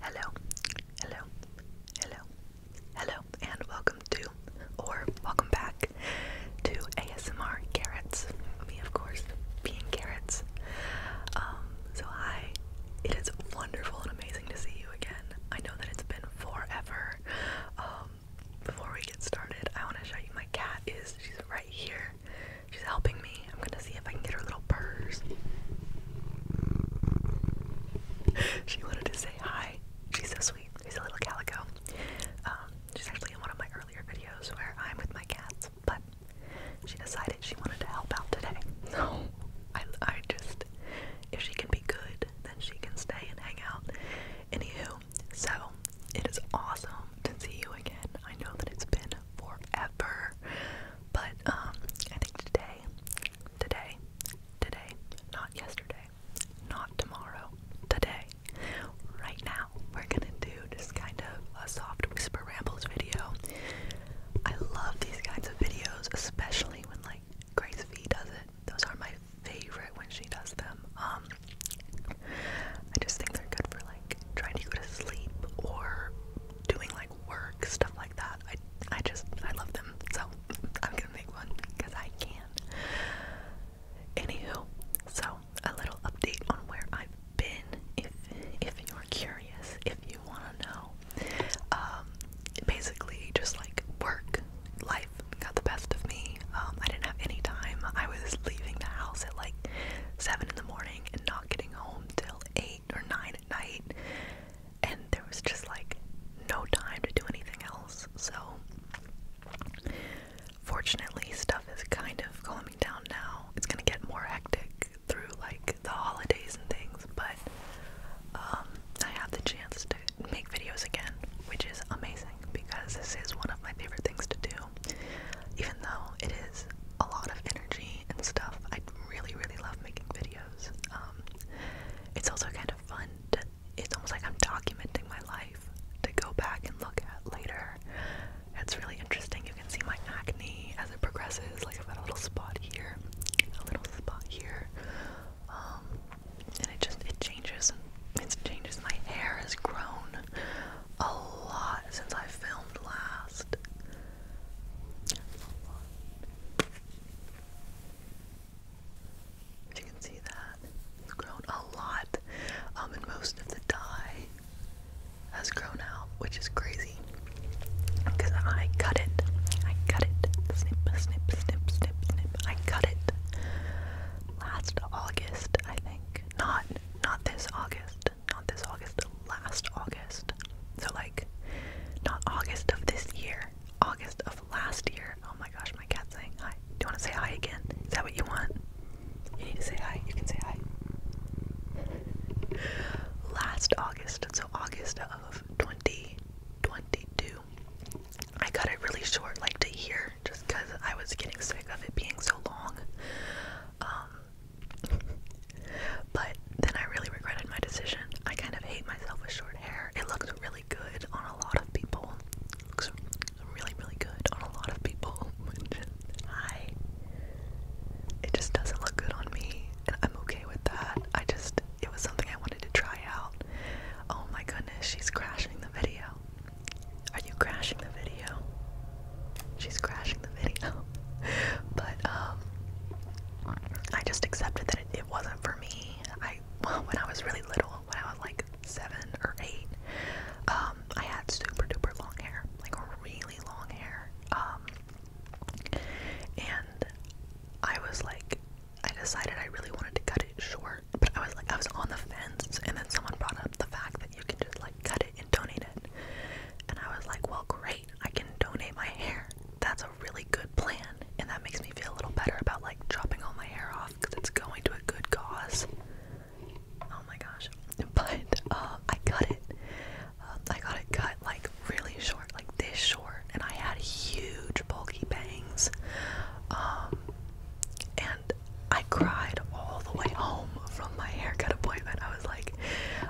Hello, hello, hello, hello, and welcome to, or welcome back to ASMR Carrots. Me, of course, being carrots. Um, so hi, it is wonderful and amazing to see you again. I know that it's been forever. Um, before we get started, I want to show you my cat is, she's right here. She's helping me. I'm gonna see if I can get her little purrs. she wanted to say hi. She's so sweet. She's a little calico. Um, she's actually in one of my earlier videos where I'm with my cats, but she decided she wanted to help out today. No, I, I just, if she can be good, then she can stay and hang out. Anywho, so it is awesome to see you again. I know that it's been forever, but um, I think today today, today, not yesterday, not tomorrow, today, right now, we're gonna do just kind of a soft whisper rambles video. I love these kinds of videos, especially when like Grace V does it. Those are my favorite when she does them. Um, I just think they're good for like trying to go to sleep or doing work, stuff like that. I I just I love them. So I'm gonna make one because I can. Anywho, so a little update on where I've been if if you're curious, if you wanna know. Um, basically just like work, life got the best of me. Um, I didn't have any time. I was leaving the house at like seven in the morning and not getting home till eight or 9 at night, and there was just like no time to do anything else. So, fortunately, stuff is kind of calming down now. It's gonna get more hectic through like the holidays and things, but um, I have the chance to make videos again, which is amazing because this is one of my favorite things to do, even though it is a lot of energy and stuff. I really, really love making videos. Um, it's also kind of fun. it's almost like I'm documenting my life to go back and look at later. It's really interesting. You can see my acne as it progresses. Like I've got a little spot here, a little spot here, um, and it just it changes. It changes. My hair has grown a lot since I filmed last you can see that, it's grown a lot, um, and most of the dye has grown out, which is crazy. Because I cut it, I cut it, snip, snip, snip, snip, snip. I cut it last August, I think. Not, not this August, not this August, last August. So, like, not August of this year, August of last year. Oh my gosh, my cat's saying hi. Do you want to say hi again? Is that what you want? You need to say hi. You can say hi. Last August, so August of 2022, I cut it really short, like to here, just because I was getting sick of it being so long. Um, but then I really regretted my decision. I kind of hate myself with short hair. It looks really good on a lot of people. looks really, really good on a lot of people. I. It just doesn't look good on me, and I'm okay with that. I just. It was something I wanted to try out. Oh my goodness, she's crashing the video. Are you crashing the video? she's crashing the video. but um I just accepted that it, it wasn't for me. I well, when I was really little, when I was like seven or eight, um, I had super duper long hair, like really long hair. Um, and I was like, I decided I really wanted to cut it short, but I was like, I was on the fence, and then someone brought up the fact that you can just like cut and donate it. And I was like, well, great, I can donate my hair. That's a really good plan. And that makes me feel a little better about like chopping all my hair off because it's going to a good cause. Oh my gosh. But uh, I cut it. Uh, I got it cut like really short, like this short. And I had huge, bulky bangs. Um, and I cried all the way home from my haircut appointment. I I was like,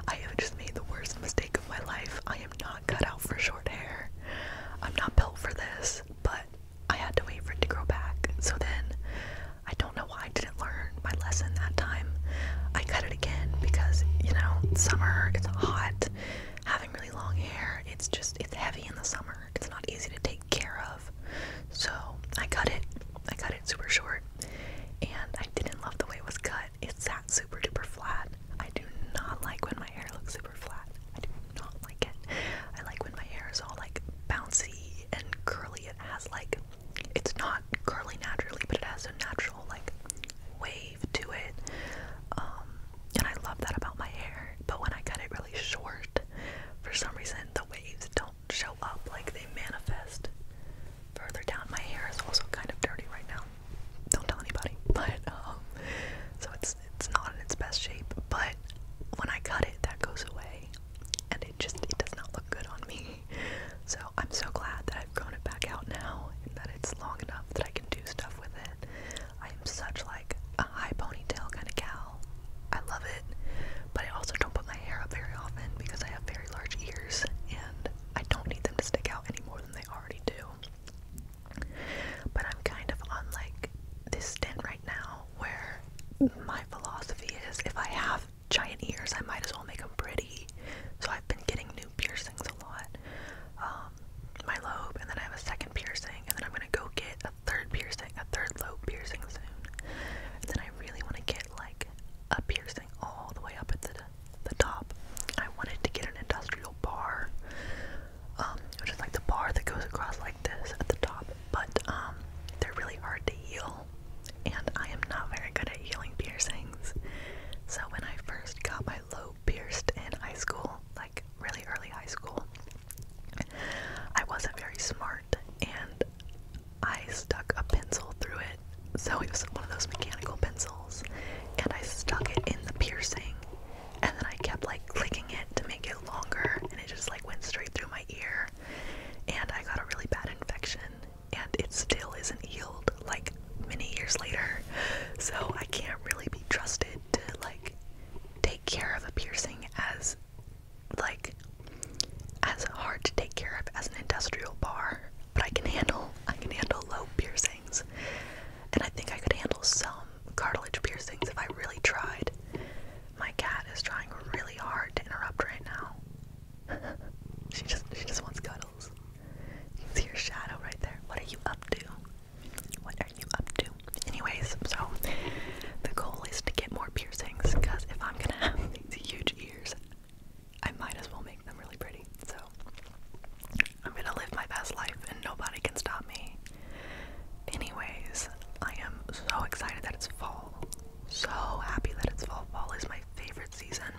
I have just made the worst mistake of my life. I am not cut out for short hair. I'm not built for this, but I had to wait for it to grow back. So then I don't know why I didn't learn my lesson that time. I cut it again because, you know, summer, it's hot. Having really long hair, it's just, it's heavy in the summer. It's not easy to take care of. So I cut it. I cut it super short. And I didn't love the way it was cut it's that super duper flat. I do not like when my hair looks super flat. I do not like it. I like when my hair is all like bouncy and curly. It has like, it's not curly naturally, but it has a natural like wave to it. Um, and I love that about my hair. But when I cut it really short, for some reason the waves don't show up like they manifest further down. My hair is also kind of dirty right now. Don't tell anybody, but um, so it's it's not in its best shape. But when I cut it, that goes away, and it just it does not look good on me. So I'm so glad that I've grown it back out now, and that it's long enough that I can do stuff with it. I am such like a high ponytail kind of gal. I love it, but I also don't put my hair up very often because I have very large ears, and I don't need them to stick out any more than they already do. But I'm kind of on like this stint right now where my philosophy is if I have giant ears, I might as well make them pretty. So I've been getting new piercings a lot. Um, my lobe, and then I have a second piercing, and then I'm gonna go get a third piercing, a third lobe piercing soon. And then I really want to get like like a piercing all the way up at the the top. I wanted to get an industrial bar, um, which is like the bar that goes across like this at the top. But um, they're really hard to heal, and I am not very good at healing piercings. So when I first got my low pierced in high school, like really early high school, I wasn't very smart, and I stuck a pencil through it. So it was one of those mechanical pencils, and I stuck it in the piercing, and then I kept like clicking it to make it longer, and it just like went straight through my ear, and I got a really bad infection, and it still isn't healed like many years later. So I can't really be trusted to like take care of a piercing as like as hard to take care of as an industrial bar, but I can handle I can handle low piercings. And I think I could handle some cartilage piercings if I really tried. My cat is trying really hard to interrupt right now. she just she just wants cuddles. You can see her shadow right there. What are you up to? What are you up to? Anyways, so the goal is to get more piercings because if I'm gonna have these huge ears, I might as well make them really pretty. So I'm gonna live my best life and nobody can stop me. Anyways, I am so excited that it's fall. So happy that it's fall. Fall is my favorite season,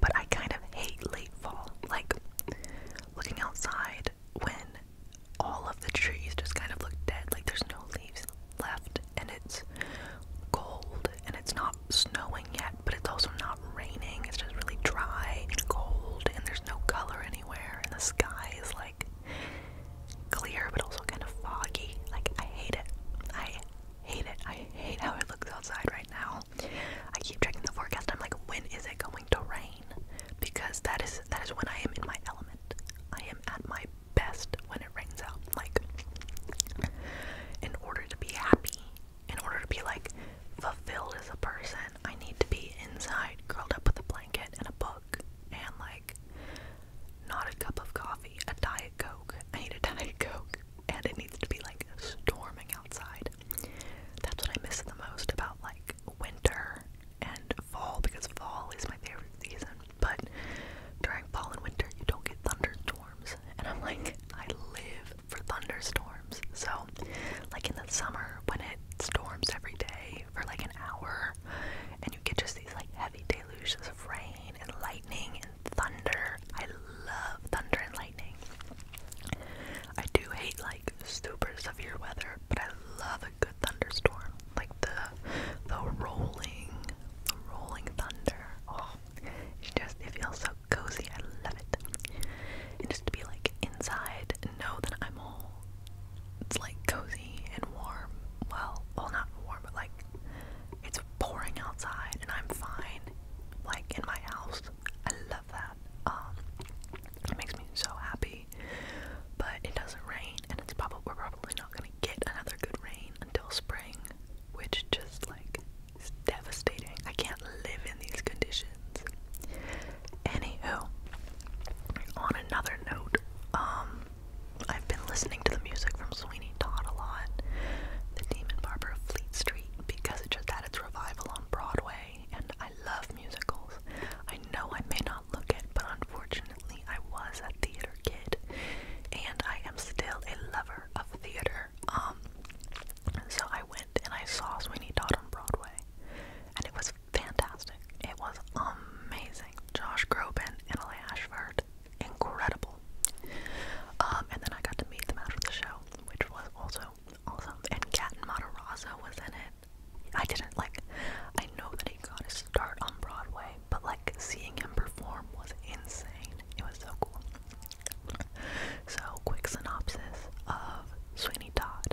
but I kind of hate late fall. Like looking outside when all of the trees just kind of look dead, like there's no leaves left and it's cold and it's not snowing yet, but it's also not raining. It's just really dry and cold and there's no color anywhere and the sky is like clear but also kind of foggy. Like I hate it. I hate it. I hate how it looks outside right now. I keep checking the forecast. I'm like, when is it going to rain? Because that is that is when I am in my element. I am at my best when it rains out. Like, in order to be happy, in order to be like fulfilled as a person, I need to be inside, curled up with a blanket and a book, and like not a cup of coffee, a diet coke. I need a diet coke, and it needs to be like storming outside. That's what I miss the most about like winter and fall because fall is my favorite season. But during fall and winter, you don't get thunderstorms. And I'm like, I live for thunderstorms. So, like in the summer, when it storms every day for like an hour, and you get just these like heavy deluges of rain and lightning and thunder. I love thunder and lightning. I do hate like super severe weather, but I love a good thunderstorm. Like the the rolling, the rolling thunder. Oh, it just, it feels so cozy. I love it. And just to be like inside know that I'm all, it's like cozy and warm. Well, well, not warm, but like it's pouring outside and I'm fine, like in my house. I love that. Um, it makes me so happy. But it doesn't rain, and it's probably we're probably not gonna get another good rain until spring, which just like is devastating. I can't live in these conditions. Anywho, on another note, um, I've been listening to the music from Sweeney Todd a lot, The Demon Barber of Fleet Street, because just had its revival on Broadway, and I love musicals. I know I may not look it, but unfortunately, I was a theater kid and I am still a lover of theater. Um so I went and I saw Sweeney Todd on Broadway and it was fantastic. It was amazing. Josh Groban and L.A. Ashford. Incredible. Um, and then I got to meet them after the show, which was also awesome. And Kat Matarazzo was in it. I didn't like I know that he got a start on Broadway, but like seeing him perform was insane. It was so cool. So, quick synopsis of Sweeney Todd,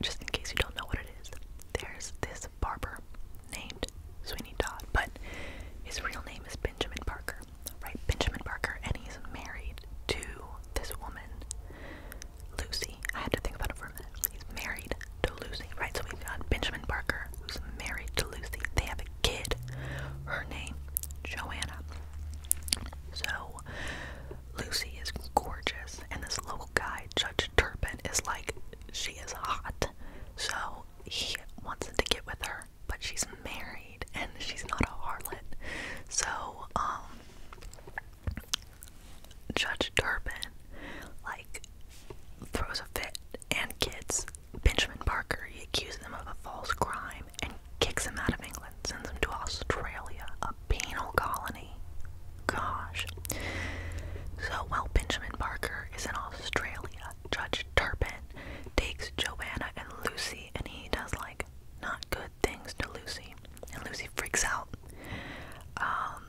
just in case you don't know what it is. There's this barber named Sweeney Todd, but his real name is Benjamin Parker, right? Benjamin Parker, and he's married to this woman, Lucy. I had to think about it for a minute. He's married to Lucy, right? So we've got Benjamin Parker, who's married to Lucy. They have a kid. Her name, Joanna. So, Lucy is gorgeous, and this local guy, Judge Turpin, is like, she is hot. So, he wants to get with her, but she's married and she's not a harlot. So, um, Judge Turpin, like, throws a fit and kids Benjamin Barker he accuses him of a false crime and kicks him out of England, sends him to Australia, a penal colony. Gosh. So while Benjamin Barker is in Australia, Judge Turpin takes Joanna and Lucy and he does like not good things to Lucy. And Lucy freaks out. Um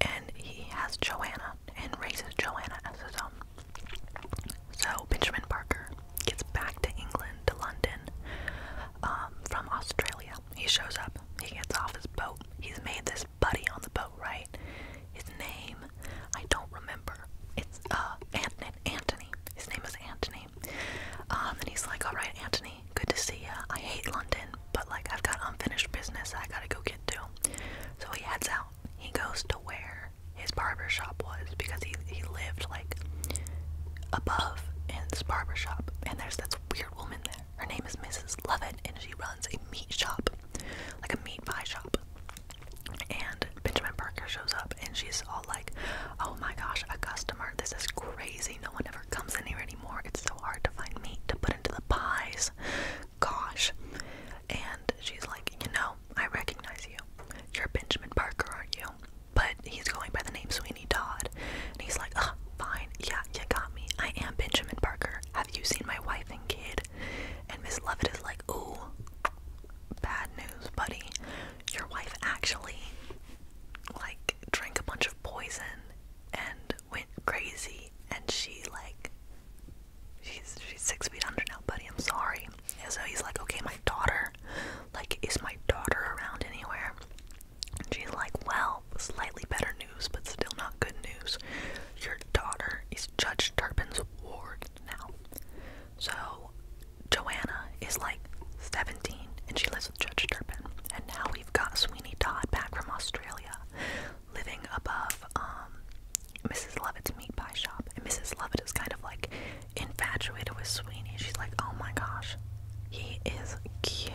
and he has Joanna and raises Joanna as his own. So Benjamin Barker gets back to England, to London, um, from Australia. He shows up, he gets off his boat. He's made this buddy on the boat, right? His name, I don't remember. It's uh Anton Antony. His name is Antony. Um, and he's like, Alright, Antony, good to see ya. I hate London, but like I've got unfinished business I gotta go get to. So he heads out he goes to where his barber shop was because he he lived like above in this barber shop. And there's this weird woman there. Her name is Mrs. Lovett, and she runs a meat shop, like a meat pie shop. And Benjamin Parker shows up, and she's all like, "Oh my gosh, a customer! This is crazy. No one ever comes in here anymore. It's so hard to find meat to put into the pies gosh. And she's like, You know, I recognize you. You're Benjamin Parker, aren't you? But he's going by the name Sweeney Todd. And he's like, Oh, fine. Yeah, you got me. I am Benjamin Parker. Have you seen my wife and kid? And Miss Lovett is like, Ooh, bad news, buddy. Your wife actually, like, drank a bunch of poison and went crazy and she like she's she's six feet under now, buddy, I'm sorry. so he's like, Okay, my daughter, like, is my daughter around anywhere? And she's like, Well, slightly better news, but still not good news. Your daughter is Judge Turpin's ward now. So Joanna is like 17 and she lives with Judge Turpin. And now we've got Sweeney Todd back from Australia living above Mrs. Um, Lovett's meat pie shop, and Mrs. Lovett is kind of like infatuated with Sweeney. She's like, oh my gosh, he is cute.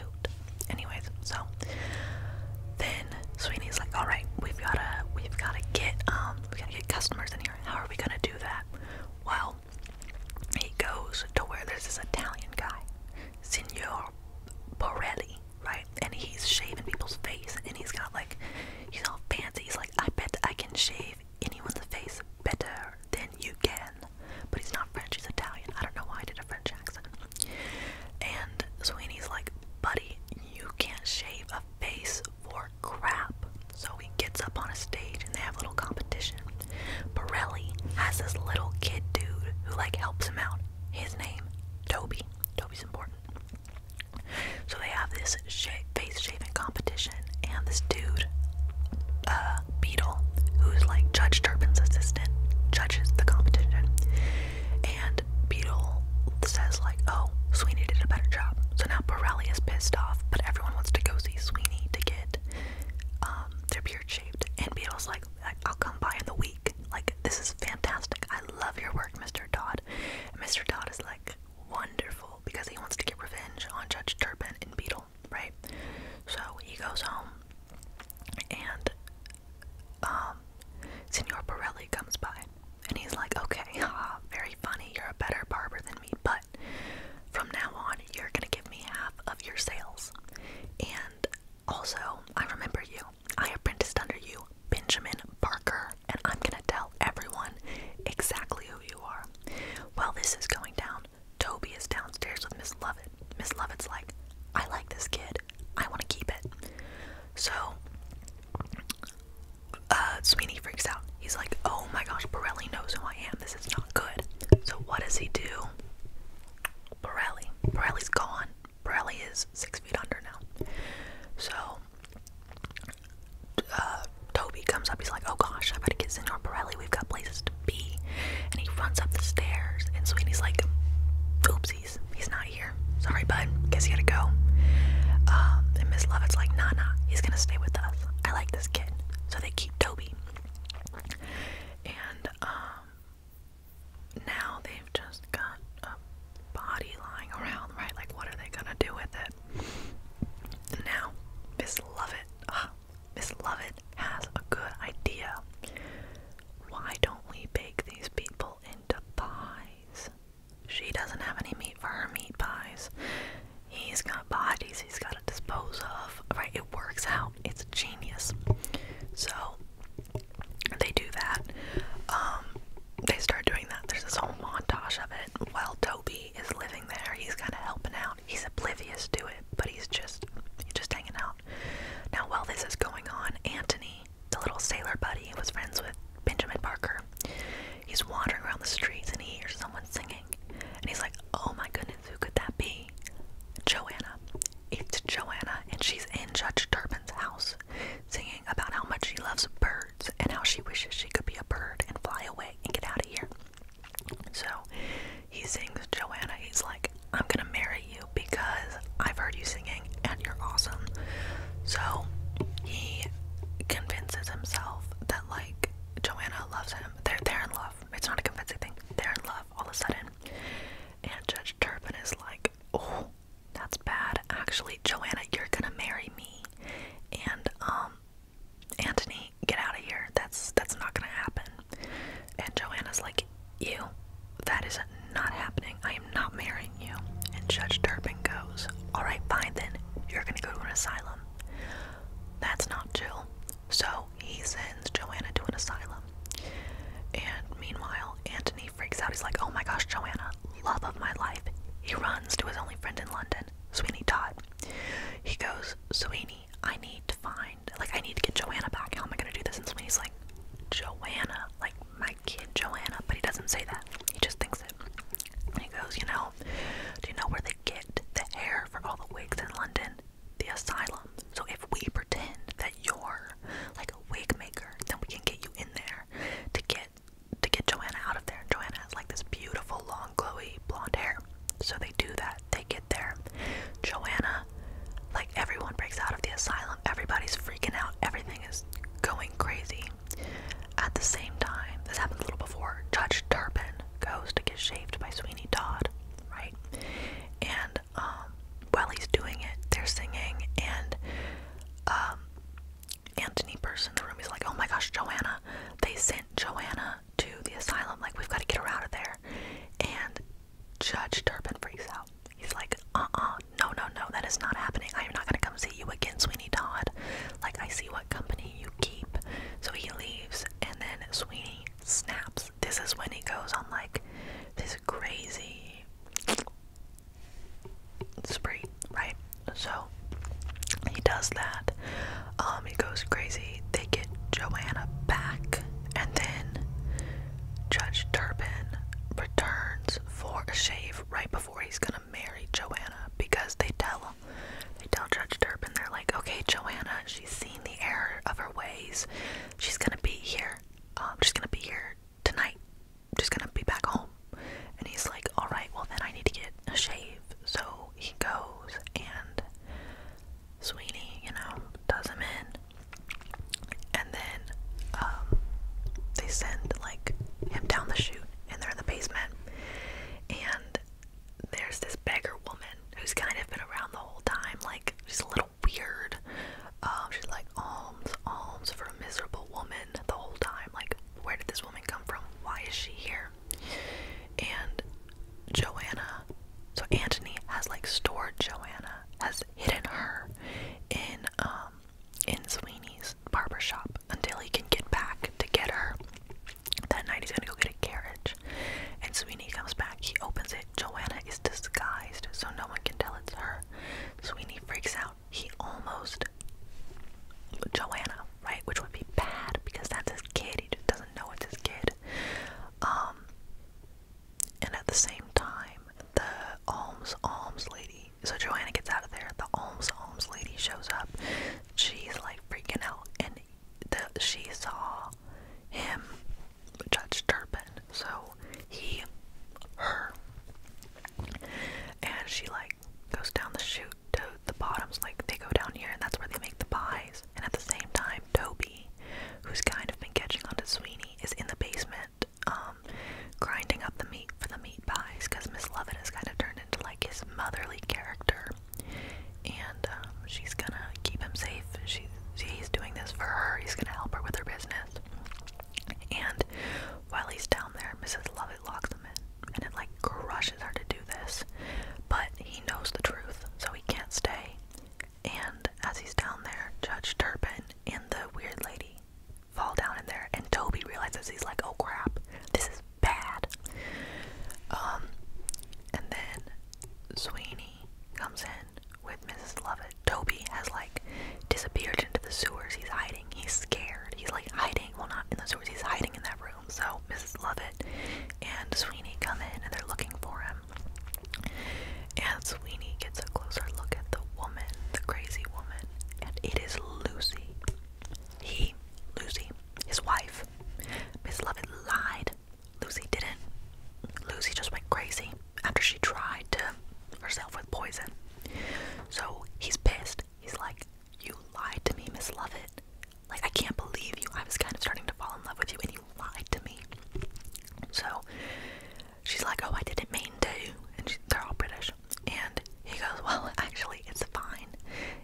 Anyways, so then Sweeney's like, all right, we've gotta, we've gotta get, um, we gotta get customers in here. How are we gonna do that? Well, he goes to where there's this Italian guy, Signor Borelli, right? And he's shaving people's face, and he's got like, he's all fancy. He's like, I bet I can shave anyone's face better than you can. But he's not French, he's Italian. I don't know why I did a French accent. And Sweeney's like, buddy, you can't shave a face for crap. So he gets up on a stage and they have a little competition. Pirelli has this little kid dude who like helps him out. His name, Toby. Toby's important. So they have this face shaving competition, and this dude, uh, Beetle, who's like Judge Turpin's assistant, judges the competition. And Beetle says like, "Oh, Sweeney did a better job." So now Borelli is pissed off, but everyone wants to go see Sweeney to get um, their beard shaved. And Beetle's like, "I'll come by in the week." Like, this is fantastic. I love your work, Mr. Todd. Mr. Todd is like wonderful because he wants to get revenge on Judge Turpin and Beetle, right? So he goes home and um Signor Pirelli comes by and he's like, Okay, uh, very funny, you're a better barber than me, but from now on you're gonna give me half of your sales. And also, I remember you. I apprenticed under you, Benjamin Parker, and I'm gonna tell everyone exactly who you are. While this is going down, Toby is downstairs with Miss Lovett. Miss Lovett's like, I like this kid. I want to keep it. So, uh, Sweeney freaks out. He's like, oh my gosh, Borelli knows who I am. This is not good. So, what does he do? Borelli. Borelli's gone. Bradley is six feet under now. So uh, Toby comes up. He's like, "Oh gosh, I better get Senor Pirelli. We've got places to be." And he runs up the stairs. And Sweeney's like, "Oopsies, he's not here. Sorry, bud. Guess you gotta go." Um, and Miss Lovett's like, "Nana, He's gonna stay with us. I like this kid." So they keep Toby. And um, now they've just got a body lying around, right? Like, what are they gonna do with it? Now, Miss Lovett, uh, Miss Lovett has a good idea. Why don't we bake these people into pies? She doesn't have any meat for her meat pies. He's got bodies he's got to dispose of. Right? It works out. It's genius. So they do that. Um, they start doing that. There's this whole montage of it while Toby is living there. He's kind of helping out. He's oblivious to it, but he's just just hanging out. Now, while this is going on, Antony, the little sailor buddy who was friends with Benjamin Parker, he's wandering around the streets and he hears someone singing, and he's like, "Oh my goodness, who could that be?" Joanna. It's Joanna, and she's in Judge Turpin's house singing about how much she loves birds and how she wishes she could be a bird and fly away and get out of here. So he sings Joanna, he's like, I'm gonna marry you because I've heard you singing and you're awesome. So he convinces himself that, like, Joanna loves him. They're, they're in love. It's not a convincing thing. They're in love all of a sudden. And Judge Turpin is like, oh, that's bad. Actually, Joanna, you're gonna marry me. And um Anthony, get out of here. That's that's not gonna happen. And Joanna's like, You, that is not happening. I am not marrying you. And Judge Turpin goes, Alright, fine then, you're gonna go to an asylum. That's not Jill. So he sends Joanna to an asylum. And meanwhile, Anthony he freaks out. He's like, oh my gosh, Joanna, love of my life. He runs to his only friend in London, Sweeney Todd. He goes, Sweeney, I need to find, like, I need to get Joanna back. How am I going to do this? And Sweeney's like, Joanna, like my kid Joanna. But he doesn't say that. He just thinks it. he goes, you know, do you know where they get the hair for all the wigs in London? The asylum so if we pretend that you're like a wig maker, then we can get you in there to get to get Joanna out of there. Joanna has like this beautiful long glowy blonde hair. So they do that. They get there. Joanna, like everyone breaks out of the asylum. Everybody's freaking out. Everything is going crazy. At the same time, this happened a little before, Judge Turpin goes to get shaved by Sweeney Todd, right? And um, while he's doing it, they're singing, and um, Anthony person in the room he's like, "Oh my gosh, Joanna! They sent Joanna to the asylum. Like, we've got to get her out of there." And Judge Turpin freaks out. He's like, "Uh-uh, no, no, no, that is not happening. I am not gonna come see you again, Sweeney Todd. Like, I see what company you keep." So he leaves, and then Sweeney snaps this is when he goes on like this crazy spree, right? So he does that. Um, he goes crazy. They get Joanna back, and then Judge Turpin returns for a shave right before he's gonna marry Joanna because they tell they tell Judge Turpin they're like, okay, Joanna, she's seen the error of her ways. She's gonna be here. Um, she's gonna be here tonight. just gonna be back home. And he's like, Alright, well then I need to get a shave. So he goes and Sweeney, you know, does him in. And then um, they send like him down the shoot, and they're in the basement. And there's this beggar woman who's kind of been around the whole time, like she's a little weird. Um, she's like alms, alms for a miserable woman the whole time. Like, where did this woman come from? Why is she here? And Joanna, so Antony has like stored Joanna, has hidden her in um in Sweeney's barber shop until he can get back to get her. That night he's gonna go get a carriage, and Sweeney comes back. He opens it. Joanna is disguised so no one can tell it's her. Sweeney freaks out. He almost Joanna, right? Which would be bad because that's his kid. He just doesn't know it's his kid. Um and at the same time, the alms alms lady. So Joanna gets out of there. The alms alms lady shows up. She's like freaking out, and the she saw him Judge Turpin. So he, her, and she like goes down the chute to the bottoms. Like they go down here, and that's where they make the pies. And at the same time, Toby, who's kind of been catching on to Sweeney, is in the basement, um, grinding up the meat for the meat pies because Miss Lovett has kind of turned into like his motherly character, and um, she's gonna keep him safe. She's. See, he's doing this for her. He's gonna help her with her business. And while he's down there, Mrs. Lovett locks them in, and it like crushes her to do this. But he knows the truth, so he can't stay. And as he's down there, Judge Turpin and the weird lady fall down in there, and Toby realizes he's like, "Oh crap, this is bad." Um, and then Sweeney comes in with Mrs. Lovett Toby has like disappeared into the sewers. He's hiding. He's scared. He's like hiding. Well, not in the sewers. He's hiding in that room. So Mrs. Lovett and Sweeney come in and they're looking for him. And Sweeney gets a closer look at the woman, the crazy woman, and it is Lucy. He, Lucy, his wife. Miss Lovett lied. Lucy didn't. Lucy just went crazy after she tried to herself with poison. So he's pissed. He's like, You lied to me, Miss Lovett. Like, I can't believe you. I was kind of starting to fall in love with you, and you lied to me. So she's like, Oh, I didn't mean to. And they're all British. And he goes, Well, actually, it's fine.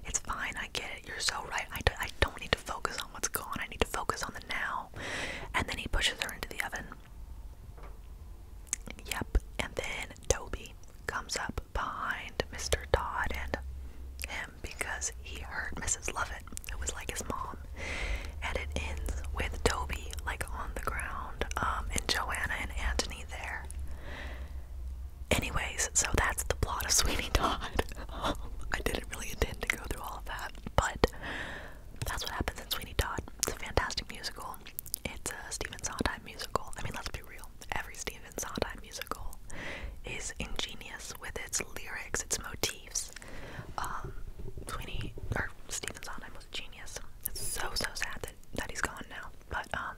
It's fine. I get it. You're so right. I, do, I don't need to focus on what's gone. I need to focus on the now. And then he pushes her into the oven. Yep. And then Toby comes up behind Mr. Todd and him because he heard Mrs. Lovett, who was like his mom. And it ends with Toby like on the ground, um, and Joanna and Anthony there. Anyways, so that's the plot of Sweeney Todd. I didn't really intend to go through all of that, but that's what happens in Sweeney Todd. It's a fantastic musical. It's a Stephen Sondheim musical. I mean, let's be real. Every Stephen Sondheim musical is ingenious with its lyrics, its motifs. Um, Sweeney or Stephen Sondheim was a genius. It's so so sad that that he's gone now. But um,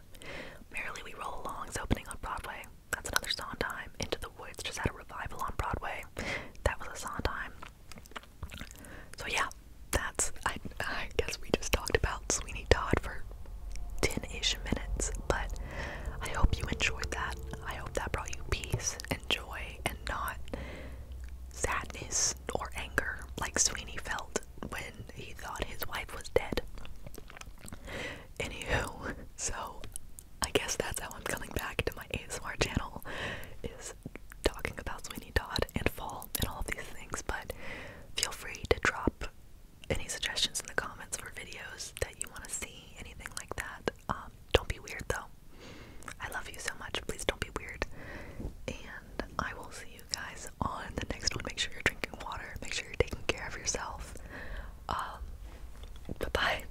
merrily we roll along. along's opening on Broadway. That's another Sondheim. Into the Woods just had a revival on Broadway. That was a Sondheim. So yeah, that's I I guess we just talked about Sweeney Todd for 10-ish minutes, but I hope you enjoyed that. I hope that brought you peace and joy and not sadness or anger like Sweeney felt when he thought his wife was dead. Anywho, so I guess that's how I'm coming back to my ASMR channel is talking about Sweeney Todd and fall and all of these things, but feel free to drop any suggestions in the comments for videos that you want to see, anything like that. Um, don't be weird though. I love you so much. Please don't be weird. And I will see you guys on the next one. Make sure you're drinking water. Make sure you're taking care of yourself. Um, bye bye.